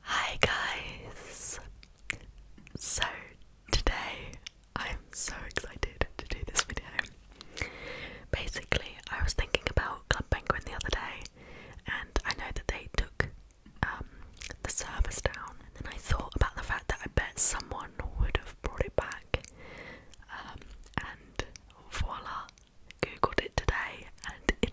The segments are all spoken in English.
Hi guys! So today I'm so excited to do this video. Basically, I was thinking about Club Penguin the other day and I know that they took um, the service down and I thought about the fact that I bet someone would have brought it back um, and voila, googled it today and it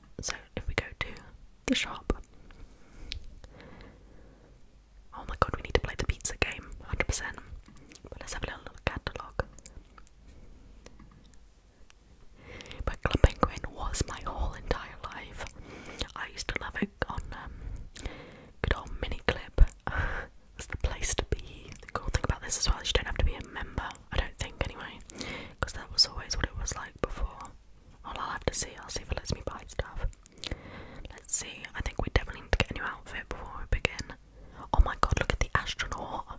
so if we go to the shop. Oh my god, we need to play the pizza game, 100%. But let's have a little catalogue. But Club Penguin was my whole entire life. I used to love it on um, good old mini clip. it's the place to be. The cool thing about this as well is you don't have to be a member, I don't think anyway, because that was always what it was like before. Well, I'll have to see. I'll see if it lets me buy stuff. Let's see. I think we definitely need to get a new outfit before we begin. Oh my god, look at the astronaut.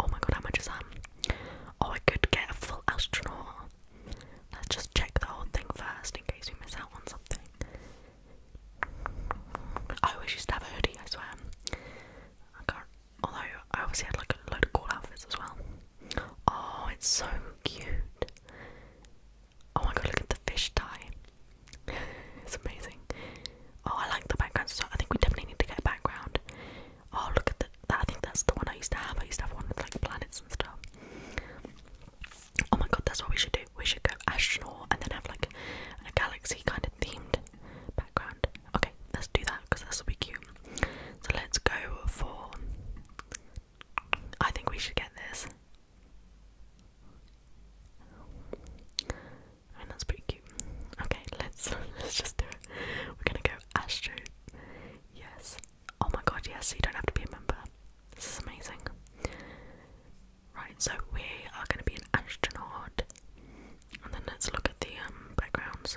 Oh my god, how much is that? Oh, I could get a full astronaut. Let's just check the whole thing first in case we miss out on something. I always used to have a hoodie, I swear. I can't. Although, I obviously had like a load of cool outfits as well. Oh, it's so cute. Oh my god, look at the fish tie. it's amazing. Oh, I like the background so I think we definitely need to get a background. Oh, look at the, that. I think that's the one I used to have. I used to have one with like planets and stuff. Oh my god, that's what we should do. We should go astral and then have like a galaxy kind of themed background. Okay, let's do that because that's will be cute. So let's go for I think we should get this. And that's pretty cute. Okay, let's let's just do it. We're gonna go Astro. Yes. Oh my god, yes, you don't have to be a member. This is amazing. Right, so we are gonna be an astronaut. And then let's look at the um, backgrounds.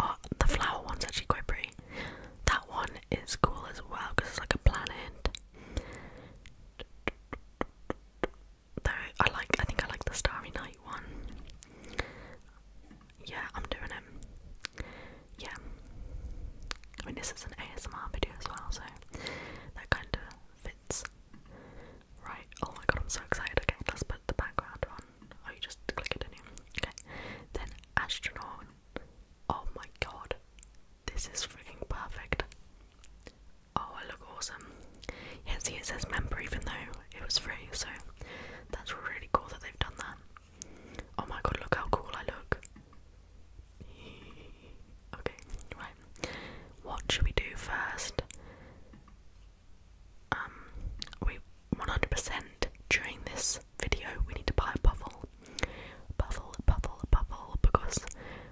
Oh, the flower one's actually quite pretty. That one is cool as well because it's like a planet. Though I like, I think I like the Starry Night one. Yeah, I'm doing it. Yeah. I mean, this is an ASMR video as well, so that kind of fits. Right, oh my god, I'm so excited. Okay, let's put the background on. Oh, you just click it in here. Okay. Then astronaut. Oh my god. This is freaking perfect. Oh, I look awesome. Yeah, see, it says member even though it was free, so that's really cool that they've done that. Oh my god, look how cool I look. Okay, right. What should we do first? um, we 100% during this video we need to buy a Puffle. Puffle, Puffle, Puffle, because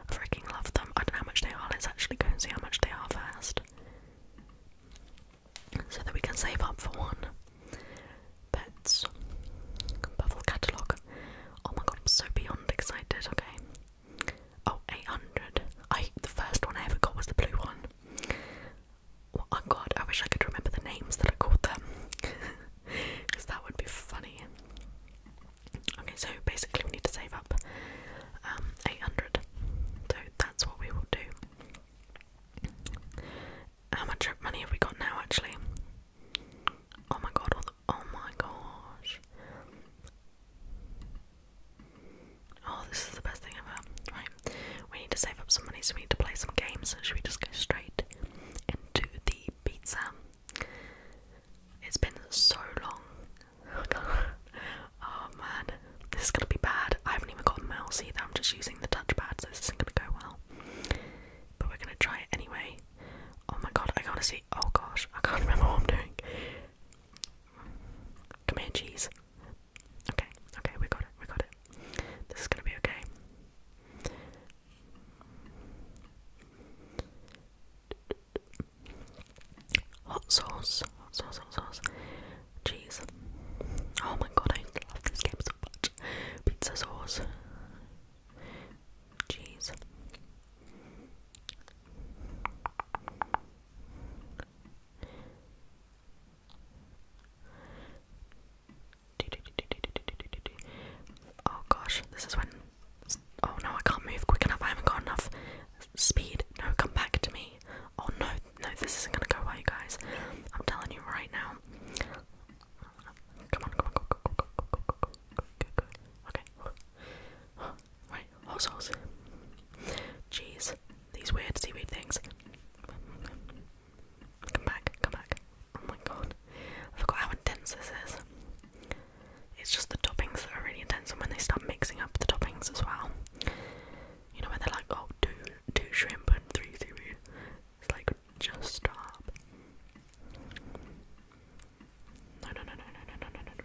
I freaking love them. I don't know how much they are, let's actually go and see how much they are first. So that we can save up for one. But, Puffle catalogue. Oh my god, I'm so beyond excited, okay. Oh, 800. I, the first one I ever got was the blue one. Oh my god, I wish I could remember the names that I called them. Because that would be funny. Okay, so basically we need to save up um, 800. So that's what we will do. How much money have we got now, actually? Oh my god, oh my gosh. Oh, this is the best thing ever. Right, we need to save up some money, so we need to play some games. Should we just go straight into the pizza? It's been so long. Oh, man, this is gonna be bad. I haven't even got a mouse either, I'm just using the touchpad, so this isn't gonna go well. But we're gonna try it anyway. Oh my god, I gotta see. Oh gosh, I can't remember what I'm doing. Comanches. Okay, okay, we got it, we got it. This is gonna be okay. Hot sauce, hot sauce, hot sauce. Cheese. Oh my god, I love this game so much. Pizza sauce. Cheese. Oh gosh, this is when. Oh no, I can't move quick enough. I haven't got enough speed. No, come back to me. Oh no, no, this isn't gonna go well, you guys. I'm telling you right now. Come on, come on, go, go, go, go, go, go, go, go, go, go. Okay. Wait, horse, horse. Jeez, these weird seaweed things. Come back, come back. Oh my god. I forgot how intense this is. It's just the toppings that are really intense and when they start mixing up the toppings as well. You know when they're like, oh two two shrimp and three seaweed. It's like just stop. No no no no no no no no no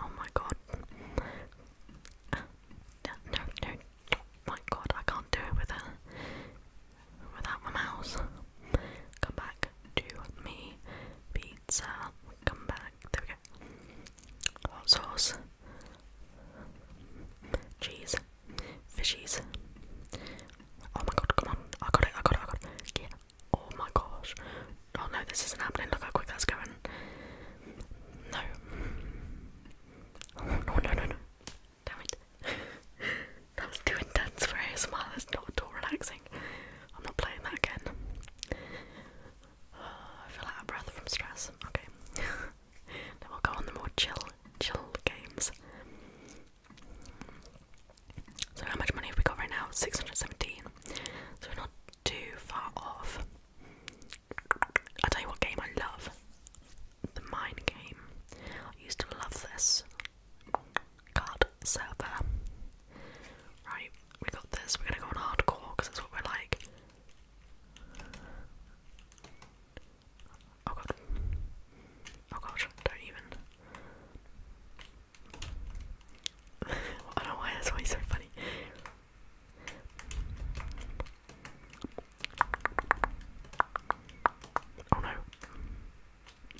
Oh my god. No, no, My god, I can't do it with a, without my mouse. Come back to me. Pizza. Come back. There we go. Hot sauce. Cheese. Fishies. Oh my god, come on. I got it, I got it, I got it. Yeah, Oh my gosh. Oh no, this isn't happening. Look how quick that's going. No. Oh, no, no, no, Damn it. that was too intense for ASMR. That's not at all relaxing. I'm not playing that again. Uh, I feel out of breath from stress. Okay. then we'll go on the more chill, chill games. So how much money have we got right now? 617. So we're not too far off. i tell you what game I love. The mine game. I used to love this card server. Right, we got this. We're gonna go on hardcore because that's what we're like. Oh god. Oh gosh, don't even. I don't know why that's always so funny. Oh no.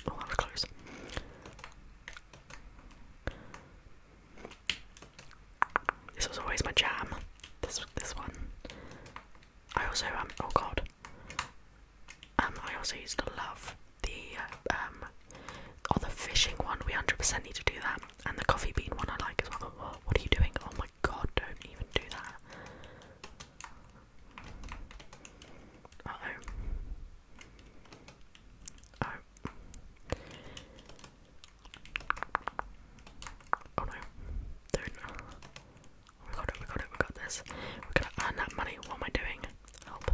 Oh, that was close. This was always my jam. This this one. I also um oh god. Um, I also used to love the uh, um, or oh, the fishing one. We hundred percent need to do that, and the coffee bean one I like as well. what are you doing? Oh my god! Don't even do that. Uh oh. Oh. Oh no! Don't. Oh, we got it. We got it. We got this. We're gonna earn that money. What am I doing? Help.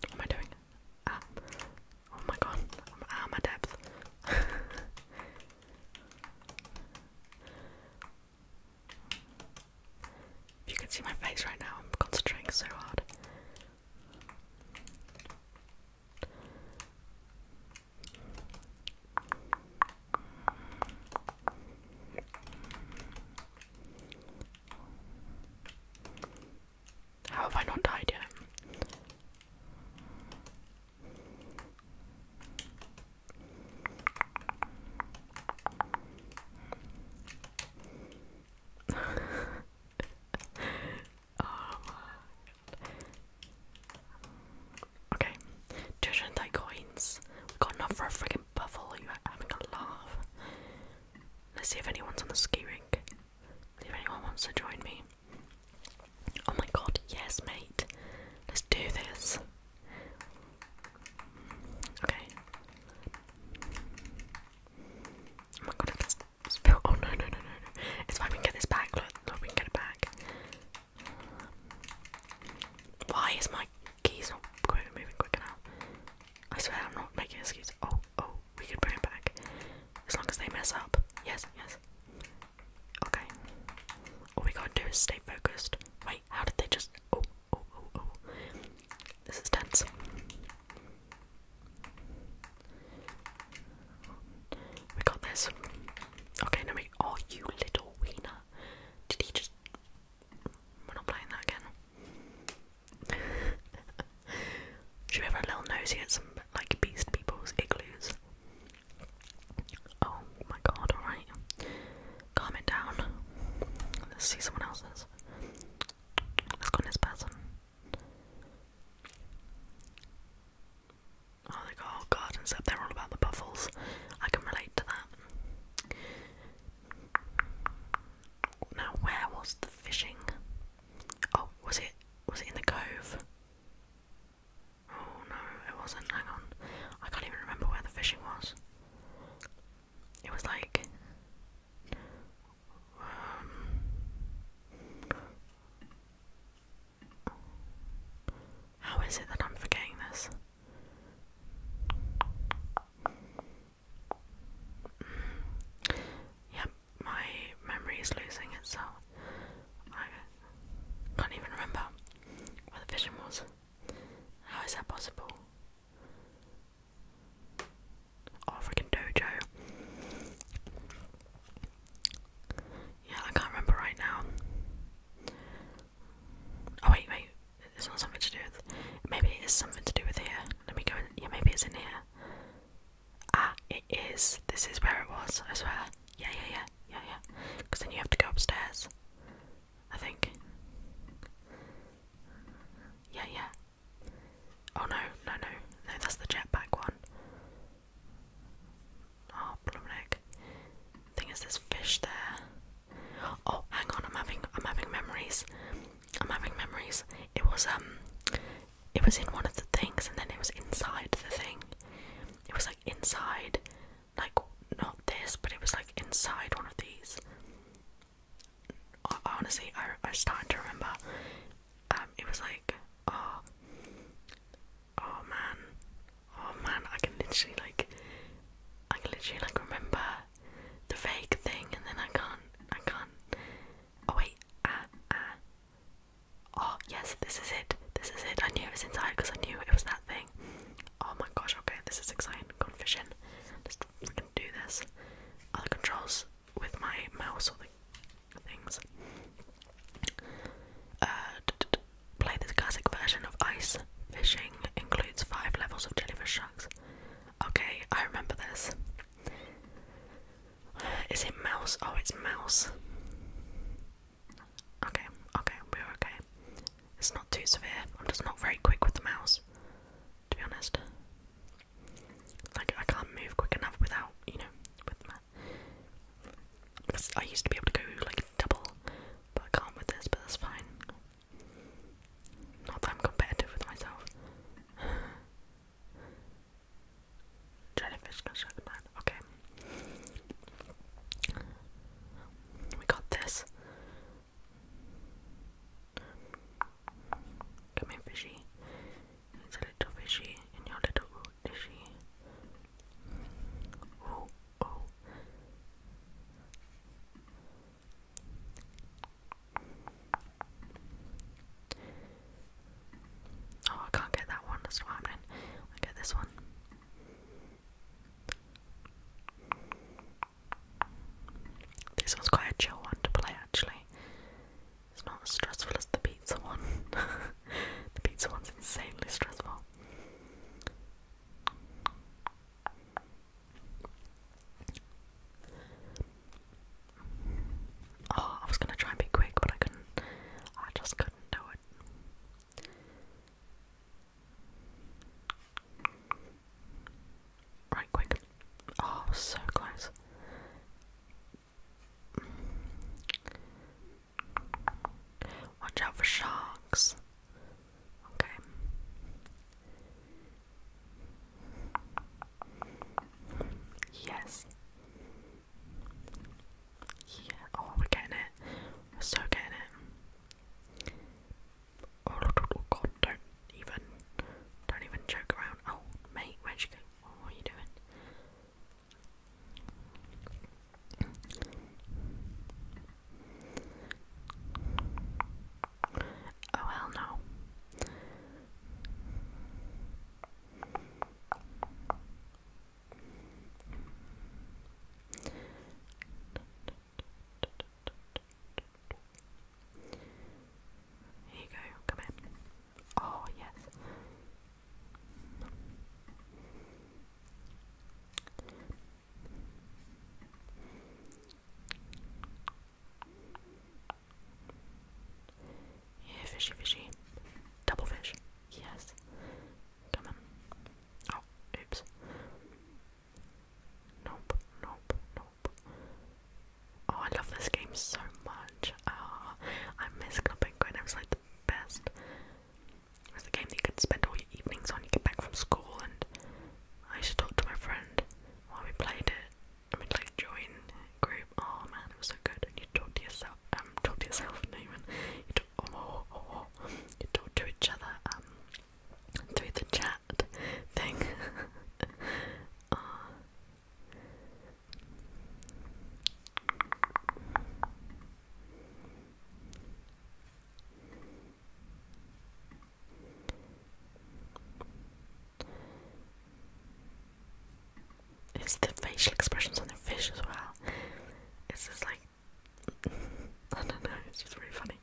What am I doing? Ah. Oh my god, i my depth. If you can see my face right now, I'm concentrating so hard. How have I not died yet? oh man. Okay, coins. We got enough for a freaking buffalo. You are having a laugh. Let's see if anyone's on the ski rink. If anyone wants to join me. Oh my god, yes, mate. Let's do this. Okay. Oh my god, if that's the spill. Oh no, no, no, no, no. It's fine, we can get this back. Look, look, we can get it back. Why is my keys not quick, moving quicker now? I swear I'm not making excuses. Oh, oh, we can bring it back. As long as they mess up. Yes, yes. Okay. All we gotta do is stay focused. Wait, how did they just. Oh, oh, oh, oh. This is tense. We got this. Okay, no wait. Oh, you little wiener. Did he just. We're not playing that again. Should we have a little nosy at some, like, beast people's igloos? Oh my god, alright. Calm it down. Let's see someone else's. Let's go on this person. Oh, they go all gardens up. They're all about the buffles. I can relate to that. Now, where was the fishing? Oh, was it? Was it in the cove? Oh no, it wasn't. Hang on, I can't even remember where the fishing was. It was like how is it that I'm forgetting this? Yep, my memory is losing itself. I can't even remember what the vision was. How is that possible? Oh, freaking dojo. Yeah, I can't remember right now. Oh, wait, wait. It's not something to do with. Maybe it is something to do with here. Let me go in. Yeah, maybe it's in here. Ah, it is. This is where it was, I swear. Yeah, yeah, yeah. Yeah, yeah. Because then you have to go upstairs. I think. Yeah, yeah. Oh no, no, no, no, that's the jetpack one. Oh, ah, Blumnick. Thing is, there's fish there. Oh, hang on, I'm having, I'm having memories. I'm having memories. It was um, it was in one of the things, and then it was inside the thing. It was like inside, like not this, but it was like inside one of these honestly, I I started to remember. Um, it was like, oh, oh man, oh man, I can literally like, I can literally like remember the fake thing, and then I can't, I can't. Oh wait, ah, ah. Oh yes, this is it. This is it. I knew it was inside because I knew it was that thing. Oh my gosh. Okay, this is exciting. Confession. Let's freaking do this. Other controls with my mouse or the things. Uh, play the classic version of ice fishing includes five levels of jellyfish sharks. Okay, I remember this. Is it mouse? Oh, it's mouse. Okay, okay, we're okay. It's not too severe. I'm just not very quick with the mouse to be honest. Like, I can't move quick enough without, you know, with my. Because I used to be able to go like double, but I can't with this, but that's fine. Not that I'm competitive with myself. Jellyfish construction plan, okay. We got this. Come here, fishy. He's a little fishy in your little dishy. Oh, oh. Oh, I can't get that one. That's what happening. I get this one. This one's quite a chill one to play actually. It's not as stressful as the pizza one. the pizza one's insanely stressful. Oh, I was gonna try and be quick, but I couldn't. I just couldn't do it. Right, quick. Oh, so close. Watch out for sharks. Okay. Yes. Yeah. Oh, we're getting it. so getting it. Oh, God, don't even, don't even joke around. Oh, mate, where'd you go? Oh, what are you doing? Oh, hell no. Here you go, come in. Oh, yes. Yeah, fishy, fishy. Double fish. Yes. Come on. Oh, oops. Nope, nope, nope. Oh, I love this game so much. Oh, I miss Club Penguin. It was like the best. It was the game that you could spend all your evenings on. You get back from school, and I used to talk to my friend while we played it. I mean, like join group. Oh man, it was so good. And you talk to yourself. Um, talk to yourself, no You talk. Oh, oh, oh, you talk to each other. Um, through the chat cat thing. it's the facial expressions on the fish as well. It's just like I don't know, it's just really funny.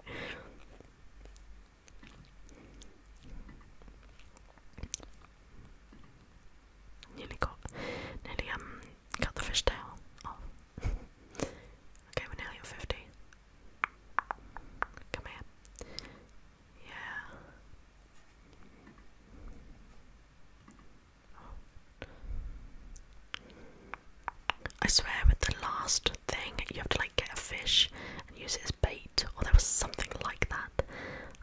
Nearly got, nearly um, cut the fish tail off. okay, we're nearly at fifty. Come here. Yeah. I swear, with the last thing, you have to like get a fish and use it bait, or there was something like that.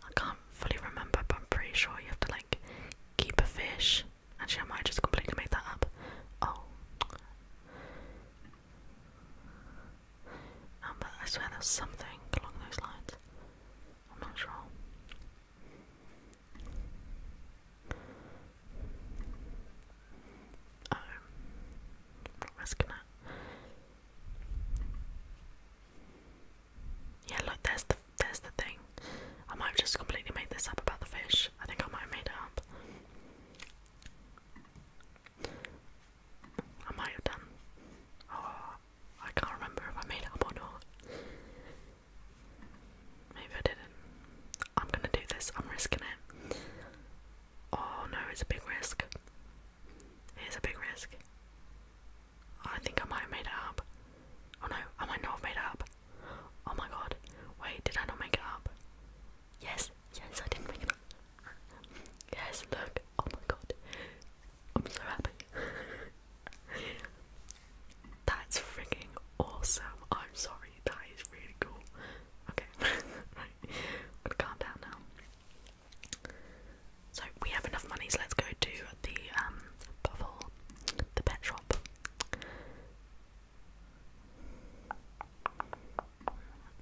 I can't fully remember, but I'm pretty sure you have to like keep a fish. Actually, I might just completely make that up. Oh. but I swear there's something along those lines. I'm not sure. I'm risking it. Yeah, look, there's the there's the thing. I might have just completely made this up about the fish. I think I might have made up. I might have done. Oh, I can't remember if I made up or not. Maybe I didn't. I'm gonna do this. I'm risking it. Oh no, it's a big risk. It's a big risk. I think I might have made it up. Oh no, I not made up. Oh my god. Wait, did I not make it up? Yes, yes, I didn't make it up. Yes, look. Oh my god. I'm so happy. That's freaking awesome. I'm sorry, that is really cool. Okay, right. calm down now. So we have enough money, so let's go to the um, bubble, the pet shop.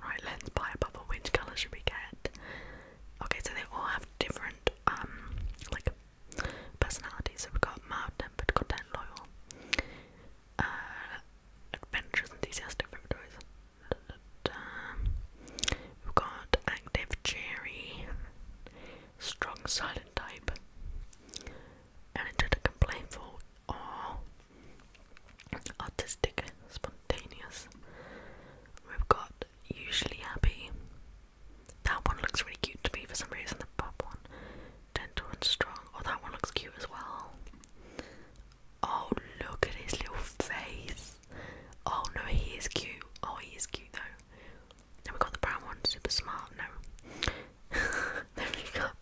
Right, let's buy a bubble. Which colour should we get? Okay, so they all have different um like personalities. So we got mild tempered, content loyal, uh adventurous, enthusiastic, victorious. We've got active, cheery, strong, silent type, energetic playful, or artistic, spontaneous. We've got usually happy. That one looks really cute to me for some reason. The pop one, gentle and strong. Oh, that one looks cute as well. Oh, look at his little face. Oh no, he is cute. Oh, he is cute though. Then we got the brown one, super smart. No. then we got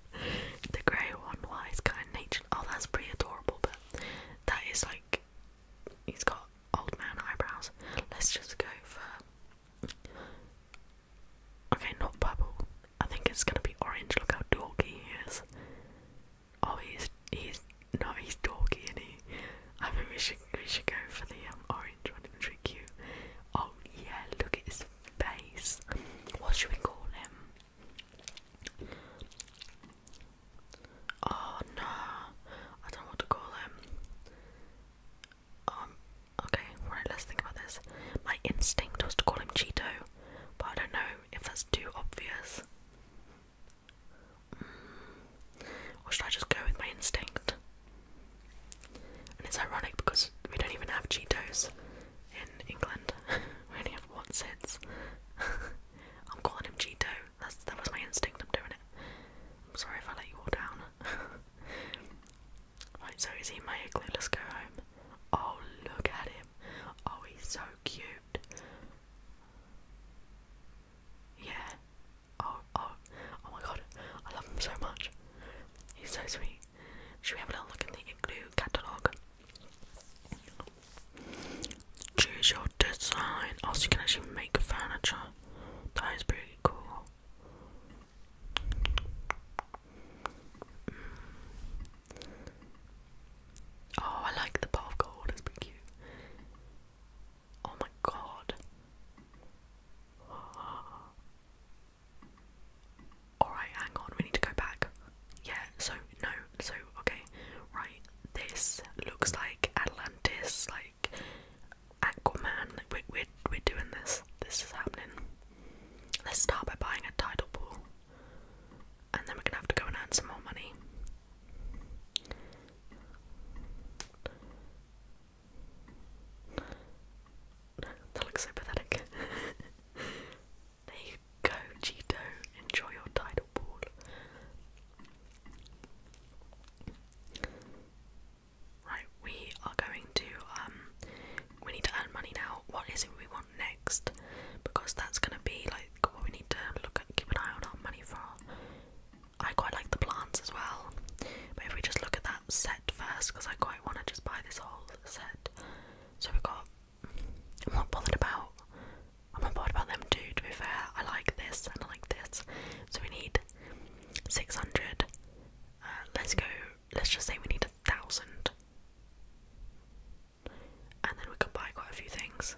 the grey one. Why well, it's kind of nature. Oh, that's pretty adorable, but that is like he's got old man eyebrows. Let's just go for. Okay, not purple. I think it's gonna be orange. Look how dorky he is. Oh, he's he's no, he's doggy, and he. I think we should we should go for the um, orange one. and trick you. Oh yeah, look at his face. What should we call him? Oh no, I don't know what to call him. Um, okay, right. Let's think about this. My instinct was to call him Cheeto, but I don't know if that's too obvious. Mm. Or should I just go with my instinct? And it's ironic because we don't even have Cheetos in England. we only have Watsits. I'm calling him Cheeto. That's, that was my instinct, I'm doing it. I'm sorry if I let you all down. right, so is he my igloo? Let's go home. Oh, look at him. Oh, he's so cute. Yeah. Oh, oh, oh my god, I love him so much. He's so sweet. Should we have a look in the Igloo catalogue? Choose your design. Also, oh, you can actually make furniture. That is pretty cool. Mm. Oh, I like the pot of gold, it's pretty cute. Oh my god. Alright, hang on, we need to go back. Yeah, so, no, so, okay, right, this looks like Atlantis, like Aquaman, like, we're, we're, we're doing this, this is happening. Let's start by buying a tidal pool and then we're gonna have to go and earn some more money. That looks so pathetic. there you go, Cheeto. Enjoy your tidal pool. Right, we are going to um we need to earn money now. What is it we want next? Because that's gonna be like what we need to look at, keep an eye on our money for. I quite like the plants as well, but if we just look at that set first, because I quite want to just buy this whole set. So we've got. I'm not bothered about. I'm not bothered about them too. To be fair, I like this and I like this. So we need six hundred. Uh, let's go. Let's just say we need a thousand and then we could buy quite a few things.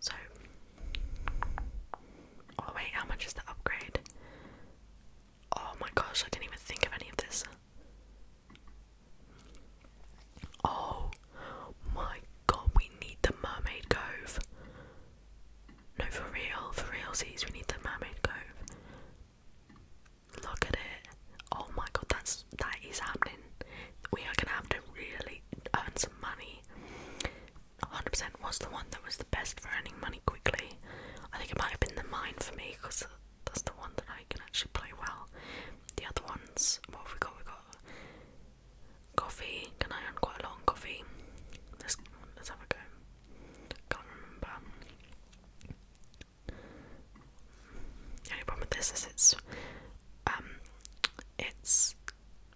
So, oh, wait, how much is the upgrade? Oh my gosh, I didn't even think of any of this. Oh my god, we need the Mermaid Cove. No, for real, for realsies, we need the Mermaid Cove. Look at it. Oh my god, that's that is happening. We are gonna have to really earn some money. 100% was the one that was the best for earning money quickly. I think it might have been the mine for me because that's the one that I can actually play well. The other ones, what have we got? We got coffee. Can I earn quite a lot coffee? Let's let's have a go. Can't remember. The only problem with this is it's um it's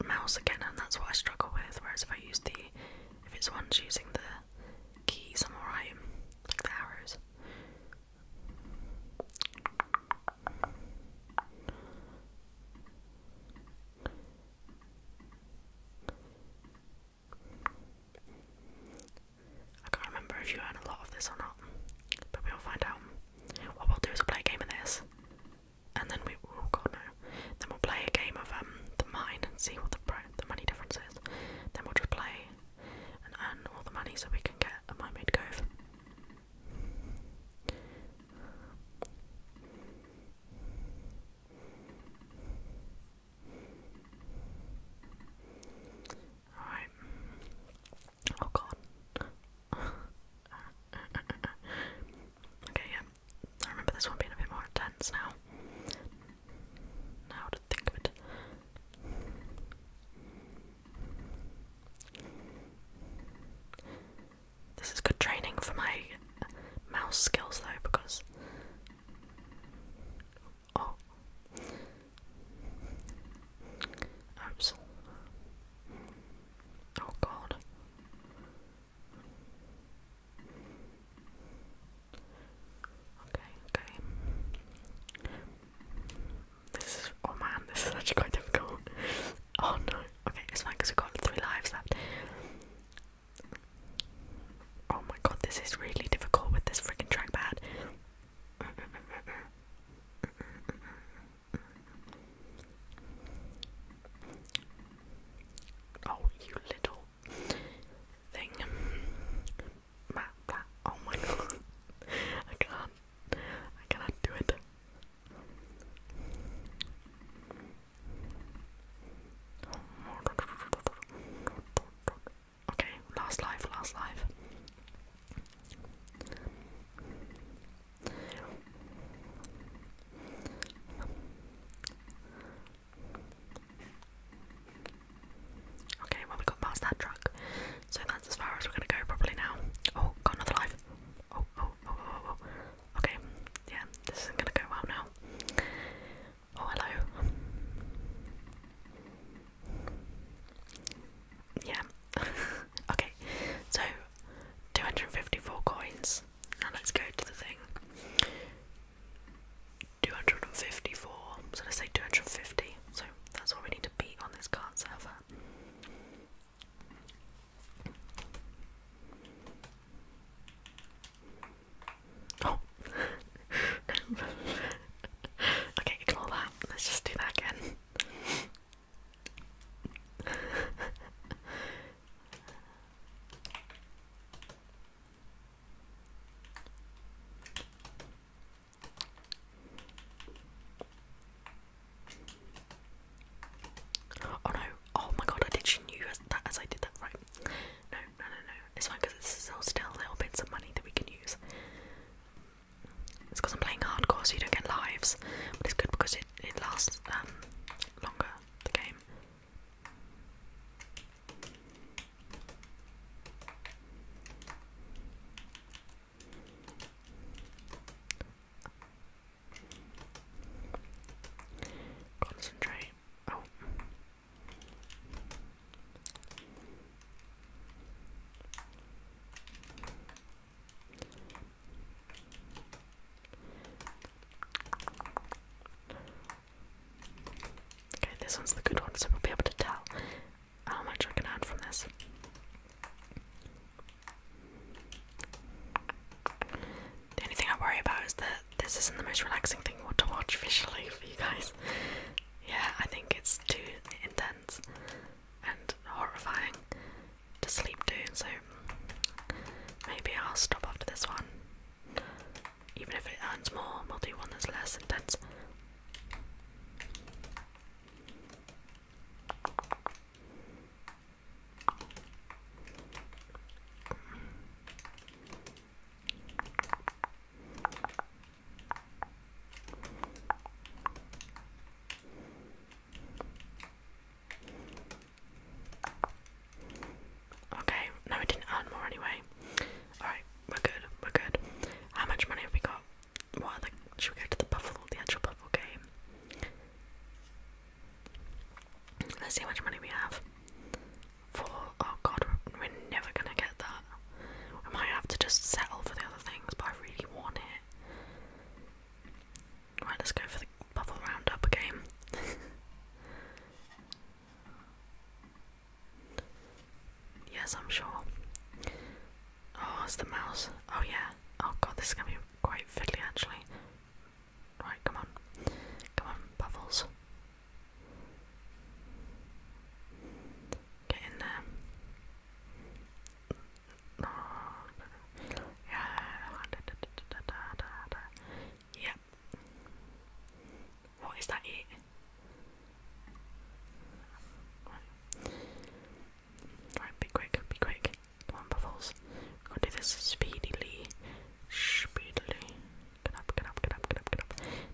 mouse again and that's what I struggle with, whereas if I use the if it's one's using the keys I'm alright. Like the arrows. I can't remember if you earn a lot of this or not, but we'll find out. What we'll do is play a game of this, and then we oh god no, then we'll play a game of um the mine and see what the the money difference is. Then we'll just play and earn all the money so we can get a mermaid cove. Alright. Oh god. okay, yeah. I remember this one being a bit more intense now. Now to think of it. This is good training for my mouse skills though because Oh. Oops. Oh god. Okay, okay. This is oh man, this is actually quite difficult. Oh no. Okay, it's fine because we've got three lives left. Oh my god, this is really difficult with this freaking trackpad. Oh, you little thing. oh my god. I can't. I cannot do it. Oh Okay, last life, last life. Okay, well we got past that truck. So that's as far as we're gonna go probably now. Oh, got another life. Oh, oh, oh, oh, oh, Okay, yeah, this isn't gonna go well now. Oh, hello. Yeah. okay, so 254 coins. Now let's go to the thing. 254. So let's say 250. So that's all we need to beat on this card server. Oh. okay, ignore that. Let's just do that again. Oh no! Oh my god! I didn't knew that as I did that right. No, no, no, no. It's fine because it's still still little bits of money that we can use. It's because I'm playing hardcore, so you don't get lives, but it's good because it it lasts um, longer. The game. Concentrate. Oh. Okay, this one's the good one, so we'll be able to tell how much I can earn from this. The only thing I worry about is that this isn't the most relaxing thing to watch visually for you guys. Yeah, I think it's too intense and horrifying to sleep to, so maybe I'll stop after this one. Even if it earns more, we'll do one that's less intense. Okay, no, we didn't earn more anyway. Alright, we're good, we're good. How much money have we got? What should we go to the Buffalo, the actual Buffalo game? Let's see how much money we have. For, oh god, we're never gonna get that. We might have to just settle for the other things, but I really want it. Right, let's go for the bubble roundup game. yes, I'm sure. Oh, it's the mouse. Oh, yeah. Oh, god, this is gonna be quite fiddly actually. Right, come on. Come on, bubbles. Get in there. Yeah. What is that Right. be quick, be quick. Come on, Buffles. We've got speedily. Speedily. Get up, get up, get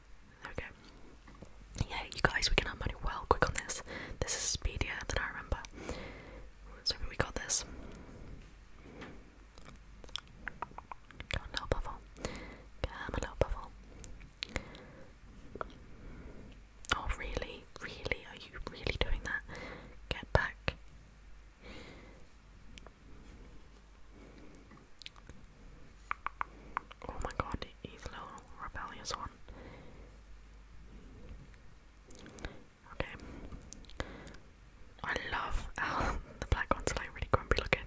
There Yeah, you guys, we can have money well quick on this. This is speedier than I remember. So we got this. Come on, little bubble. Come on, little bubble. Oh, really? Really? Are you really doing that? Get back. Oh my god, he's a little rebellious one. Okay. I love how the black one's like really grumpy looking.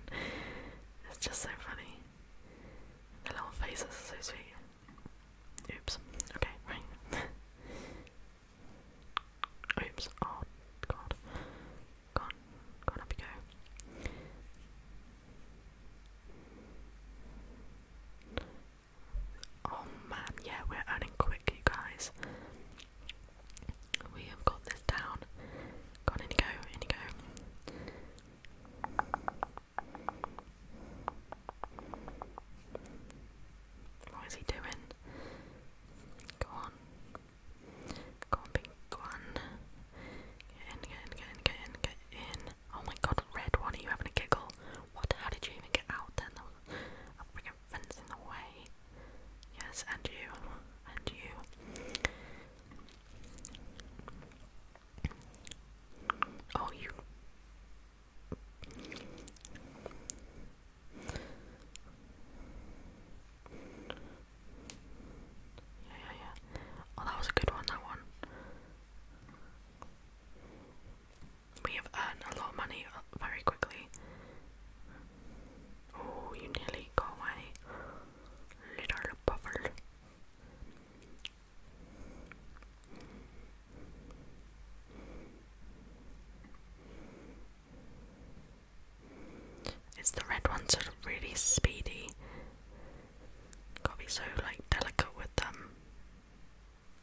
It's just so funny. The little faces are so sweet. Oops. Okay, Oops. Oh god. Gone. Gone up you go. Oh man, yeah, we're earning quick, you guys. We have got this down. Go in go, in go. What is he doing? Go on. Go on, big one. Get in, in, in, in, Oh my god, Red, Why are you having a giggle? What? How did you even get out then? There was a freaking fence in the way. Yes, and you. And you. Oh, you. yeah, yeah. Oh, that was a good one, that one. We have earned a lot of money very quickly. Oh, you nearly go away, little buffalo. It's the red ones that are really speedy. Gotta be so like delicate with them.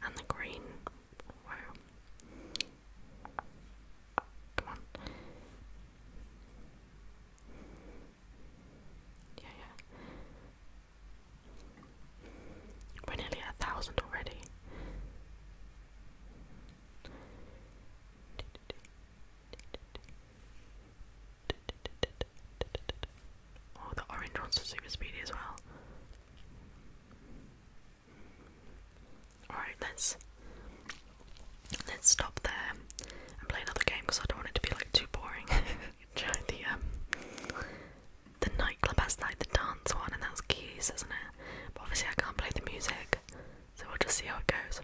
And the green. Wow. Come on. Yeah, yeah. We're nearly a thousand already. Oh, the orange ones are super speedy as well. Alright, let's let's stop there and play another game because I don't want it to be like too boring. the um, the nightclub has like the dance one and that's keys, isn't it? But obviously I can't play the music, so we'll just see how it goes.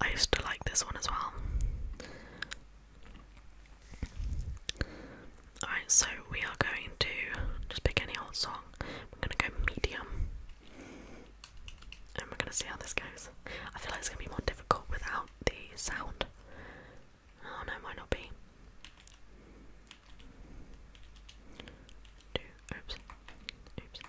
I used to like this one as well. Alright, so we are going to just pick any old song. We're gonna go medium. And we're gonna see how this goes. I feel like it's gonna be more difficult without the sound. Oh no, might not be. oops, oops,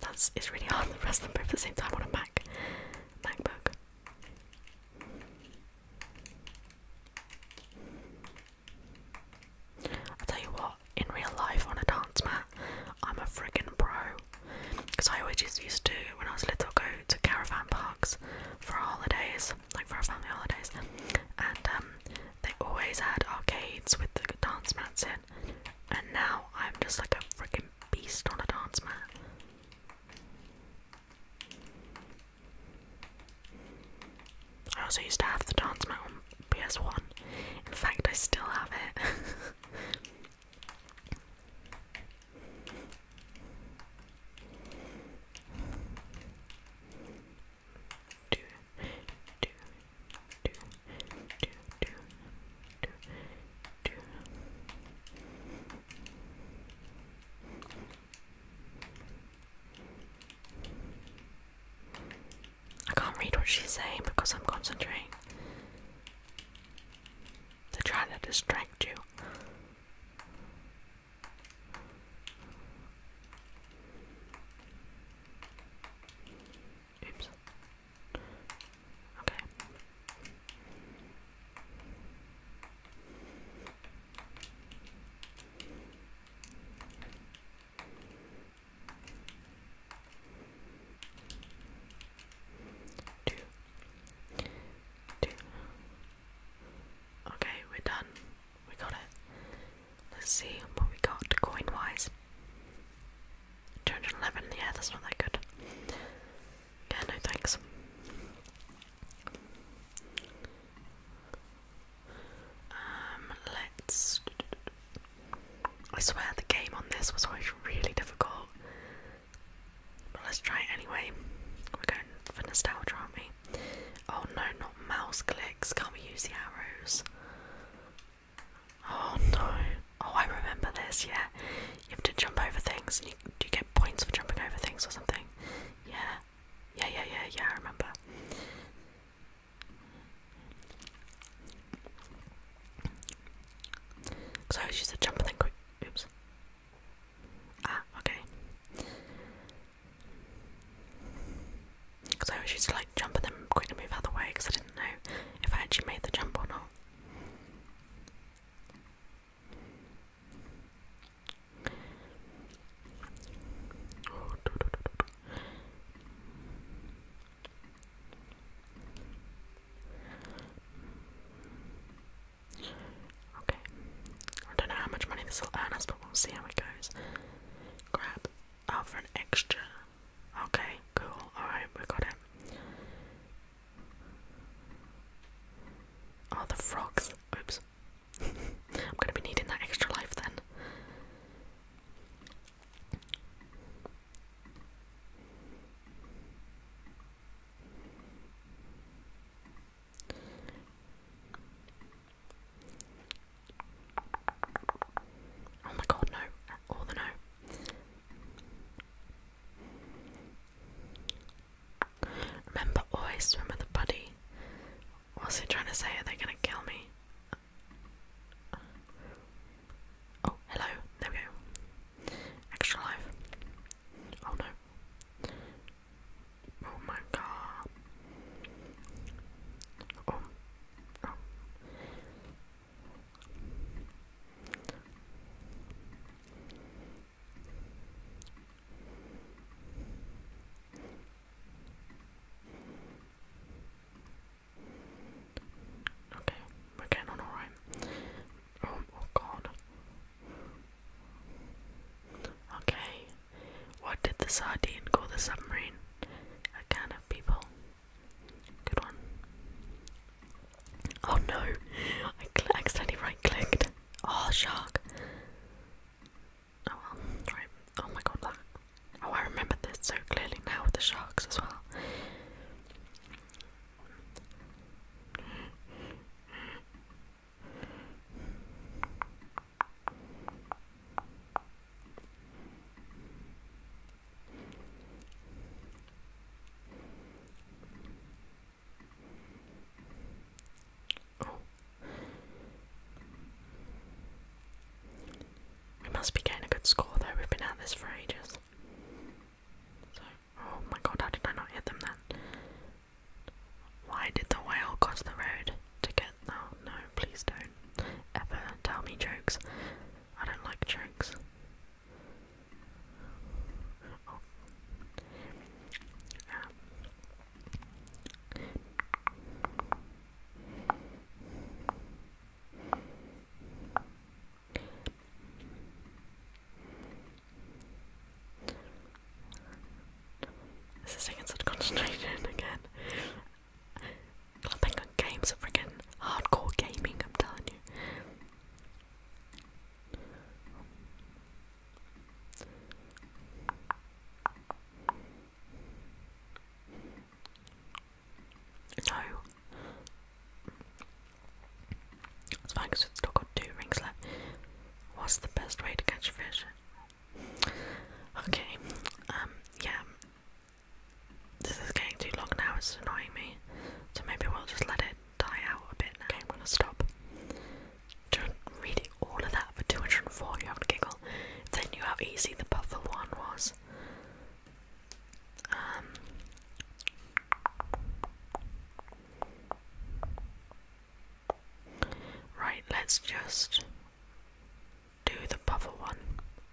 that's it's really hard to press them both at the same time on a Mac MacBook. i tell you what, in real life on a dance mat, I'm a friggin' pro. Because I always used to, when I was little, go to caravan parks for holidays Christmas, like for our family holidays, and um, they always had arcades with the dance mats in. And now I'm just like a freaking beast on a dance mat. I also used to have the dance mat on PS1. In fact, I still have it. I can't read what she's saying because I'm concentrating. They're trying to distract you. Oops. Okay. Two. Two. Okay, we're done. We got it. Let's see what we got coin wise. 211, yeah, that's not that good. Yeah, no thanks. Um, let's. I swear the game on this was always really difficult let's try it anyway. We're going for nostalgia, aren't we? Oh no, not mouse clicks. Can't we use the arrows? Oh no. Oh, I remember this, yeah. You have to jump over things and you, you get points for jumping over things or something? Yeah. Yeah, yeah, yeah, yeah, I remember. Because I always jump then quick. Oops. Ah, okay. Because I always used to like jump and then quickly move out the way because I didn't know if I actually made the jump or not. Okay. I don't know how much money this will earn us, but we'll see how it goes. Grab. Oh, for an extra. Okay, cool. Alright, we got it. Oh, the frogs. Oops. I'm gonna be needing that extra life then. Oh my god, no. All the no. Remember, always swim with a buddy. What's he trying to say? Are they gonna kill me? Oh, hello. There we go. Extra life. Oh no. Oh my god. Oh. oh. Okay, alright. Oh, oh god. Okay. What did the sardine call the submarine? A can of people. Good one. Oh no! I accidentally right clicked. Oh, shark. Oh well, right. Oh my god, that. Oh, I remember this so clearly now with the sharks as well. We must be getting a good score though, we've been at this for ages. Oh my god, how did I not hit them then? Why did the whale cross the road to get. Oh no, please don't ever tell me jokes. I don't like jokes. This is taking such concentration again. Clapping on games are hardcore gaming, I'm telling you. No. It's fine because we've still got two rings left. What's the best way to catch fish? Okay, um, yeah. This is getting too long now, it's annoying me. So maybe we'll just let it die out a bit Okay, I'm gonna stop. do read all of that for 204, you giggle. If they knew how easy the buffer one was. Um. Right, let's just do the puffer one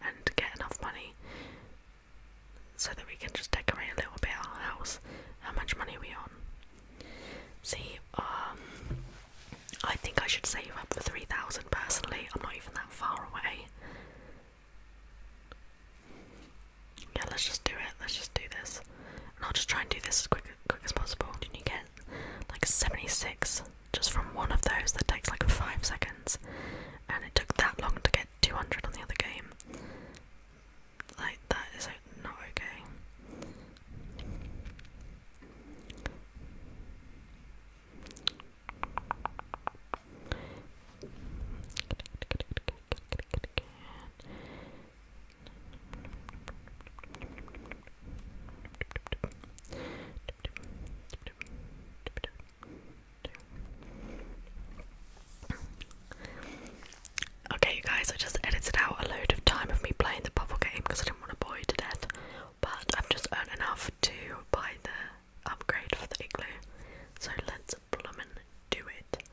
and get enough money so that we can just decorate a little bit our house. How much money are we on? See, um, I think I should save up for 3,000 personally. I'm not even that far away. Yeah, let's just do it. Let's just do this. I'll just try and do this as quick, quick as possible. Can you get like 76 just from one of those that takes like 5 seconds? And it took that long to get 200 on the other game. Like, that is not okay. Okay, guys, I just edited out a load of time of me playing the puzzle game because I didn't want to bore you to death. But I've just earned enough to buy the upgrade for the igloo. So let's plummet do it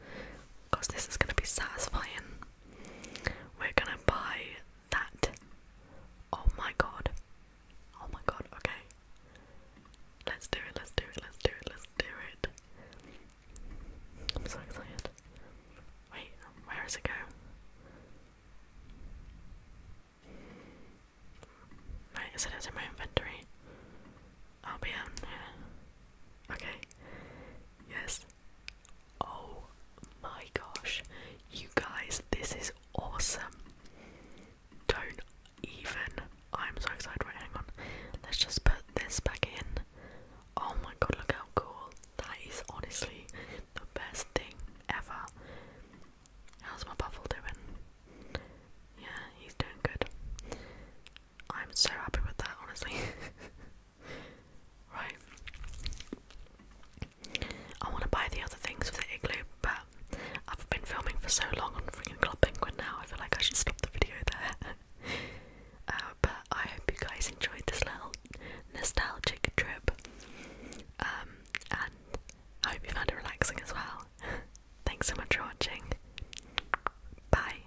because this is going to be satisfying. We're going to buy that. Oh my god. Oh my god, okay. Let's do it, let's do it, let's do it, let's do it. I'm so excited. Wait, where it go? Right, is it in my inventory? I'll be on Okay. Yes. Oh my gosh. You guys, this is awesome. Don't even. I'm so excited. Right, hang on. Let's just put this back in. Oh my god, look how cool. That is honestly the best thing ever. How's my buffle doing? Yeah, he's doing good. I'm so happy with that, honestly. Right. I want to buy the other things for the igloo, but I've been filming for so long on freaking Club Penguin now, I feel like I should stop the video there. Uh, but I hope you guys enjoyed this little nostalgic trip. Um, and I hope you found it relaxing as well. Thanks so much for watching. Bye.